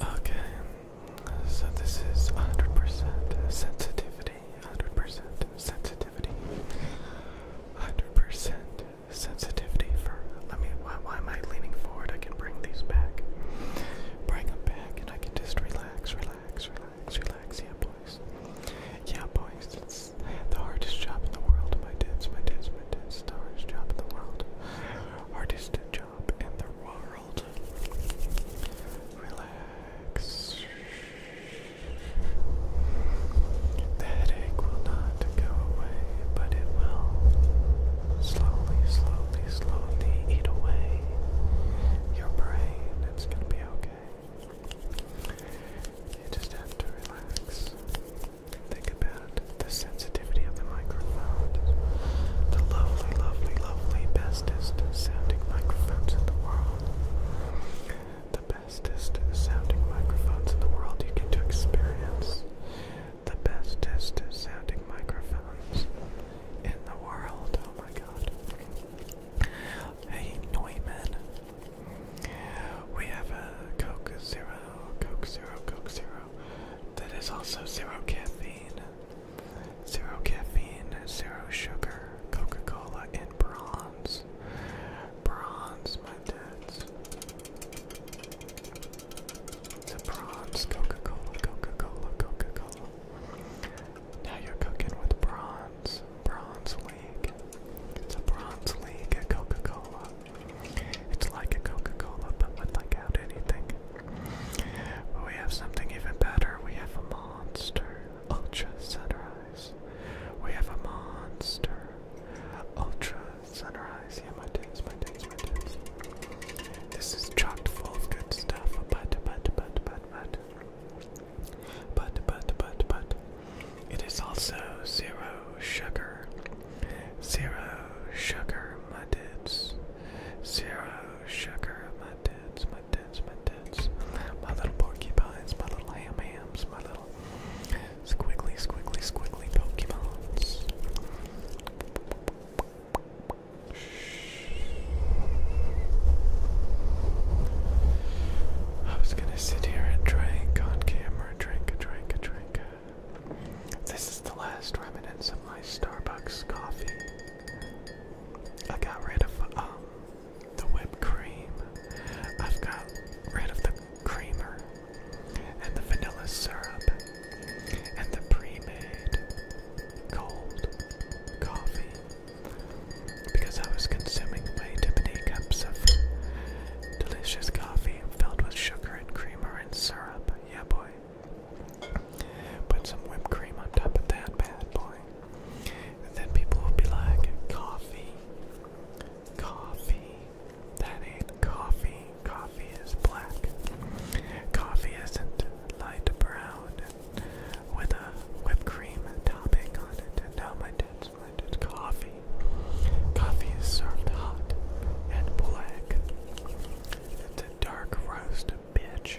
Okay, so this is 100% sensitivity, 100% sensitivity, 100% sensitivity for, let me, why, am I leaning forward? I can bring these back, bring them back, and I can just relax, relax, relax, relax, yeah boys, yeah boys, it's the hardest job in the world, my dudes, my dudes, my dudes, the hardest job in the world hardest job in the world. Relax. The headache will not go away, but it will slowly, slowly, slowly eat away your brain. It's gonna be okay. You just have to relax. Think about the sensitivity of the microphone. The lovely, lovely, lovely bestest sounding microphones in the world. The bestest sounding microphones in the world you get to experience. The bestest sounding microphones in the world. Oh my god. Hey Neumann, we have a Coke Zero, Coke Zero, Coke Zero that is also zero caffeine, zero caffeine, zero sugar, Coca Cola, and bronze. Bronze, my dudes. It's a bronze Coca Cola, Coca Cola, Coca Cola. Now you're cooking with bronze, bronze league. It's a bronze league at Coca Cola. It's like a Coca-Cola, but with without anything. But we have something even better. We have a monster. Ultra Sunrise. We have a monster. Ultra Sunrise. Yeah, my tits, my tits, my tits. This is chocked full of good stuff. But, but, but, but, but, but. But, but, but, but. It is also zero sugar, zero sugar, my dudes, zero sugar, my dudes, my dudes, my dudes, my little porcupines, my little ham hams, my little squiggly, squiggly, squiggly Pokemon. I was gonna sit here and drink on camera, drink a drink a drink. This is the last remnants of my Starbucks coffee. I got rid of um the whipped cream. I've got rid of the creamer and the vanilla syrup and the pre-made cold coffee because I was consuming way too many cups of delicious coffee filled with sugar and creamer and syrup. Yeah, boy. Put some whipped cream on top of that bad boy. And then people will be like, coffee, coffee. That ain't coffee. Coffee is black. Coffee isn't light brown with a whipped cream topping on it. And now my dad's my dad's coffee. Coffee is served hot and black. It's a dark roast, bitch.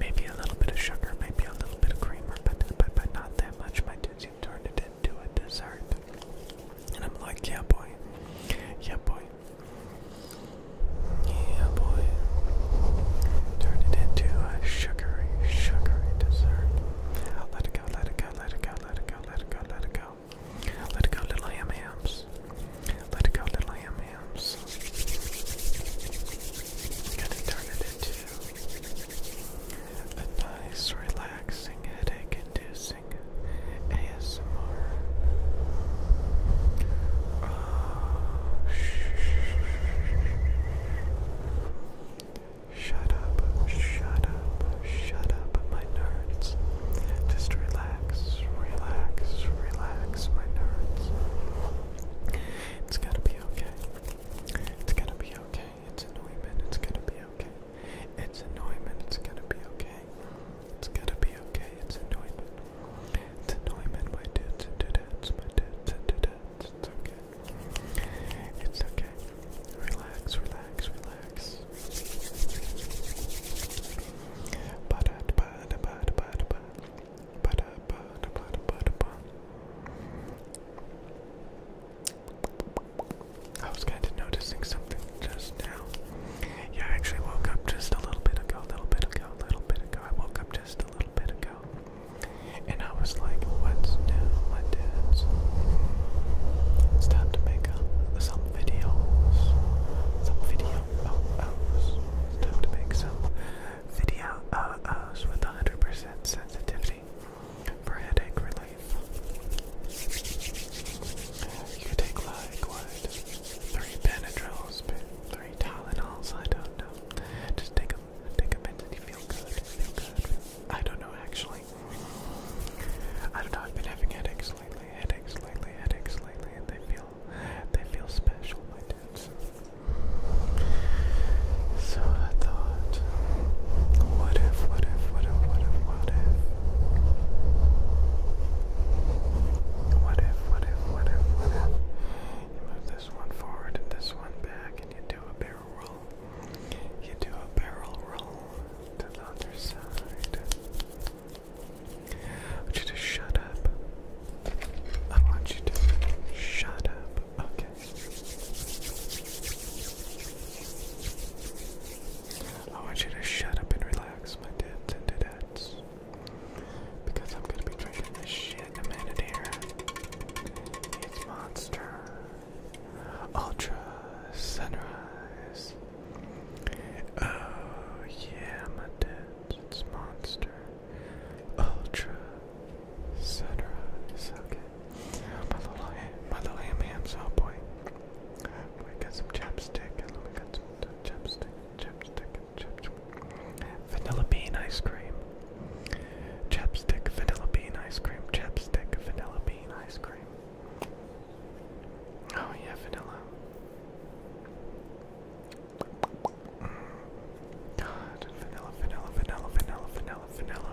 Maybe a little bit of sugar, maybe a little bit of creamer, but but, but not that much. My dad seemed turned it into a dessert. And I'm like, yeah boy. Yeah boy. Yeah, boy. Turn it into a sugary, sugary dessert. Let it go, let it go, let it go, let it go, let it go, let it go. Let it go, little ham hams. Let it go, little ham hams. Gonna turn it into a nice, relaxing, headache inducing ASMR. Oh, Shut up, shut up, shut up, my nerves. Just relax, relax, relax, my nerds. It's gonna be okay. It's gonna be okay. It's annoyment, it's gonna be okay. It's annoyment, it's gonna be okay. It's gonna be okay, it's annoyment. It's okay. It's okay. Relax, relax, relax. I was kind of noticing something just now. Yeah, I actually woke up just a little bit ago, little bit ago, little bit ago. I woke up just a little bit ago. And I was like, what's new? What is? It's time to make up some videos. Some video -os. time to make some video -os with 100 sensitivity for headache relief. You take like what? three Benadryls, three Tylenols, I don't know. Just take them, take them and you feel good, feel good. I don't know actually. I don't know, I've been having headaches lately, headaches lately, headaches lately, and they feel, they feel special, my dudes. So I thought, what if, what if, what if, what if, what if? What if, what if, what if, what if you move this one forward this one back and you do a barrel roll? You do a barrel roll to the other side. you to shut up. I want you to shut up. Okay. I want you to shut up and relax relax, my dudes and dudettes. Because I'm gonna be drinking this shit in a minute here. It's Monster Ultra Sunrise. Oh yeah, my dudes, it's Monster Ultra Sunrise. Okay, my little, my little ham ham's we got some chapstick, and we got some chapstick, chapstick, chapstick. Vanilla bean ice cream. Chapstick, vanilla bean ice cream, chapstick, vanilla bean ice cream. Oh yeah, vanilla. God, vanilla, vanilla, vanilla, vanilla, vanilla, vanilla.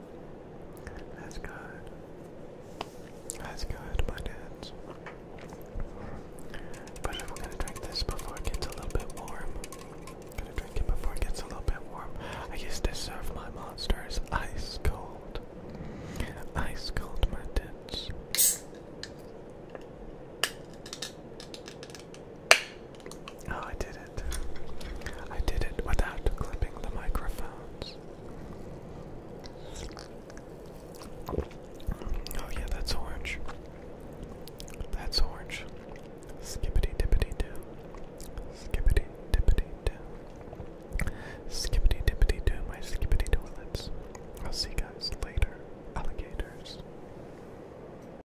That's good. That's good, my dudes. But we're gonna drink this before it gets a little bit warm. Gonna drink it before it gets a little bit warm. I used to serve my monsters ice cold. Ice cold, my dudes. Oh, I did it. I did it without clipping the microphones. Oh, yeah, that's orange. That's orange. Skippity dippity doo. Skippity dippity doo. Skippity dippity doo, my skippity toilets. I'll see you guys later, alligators.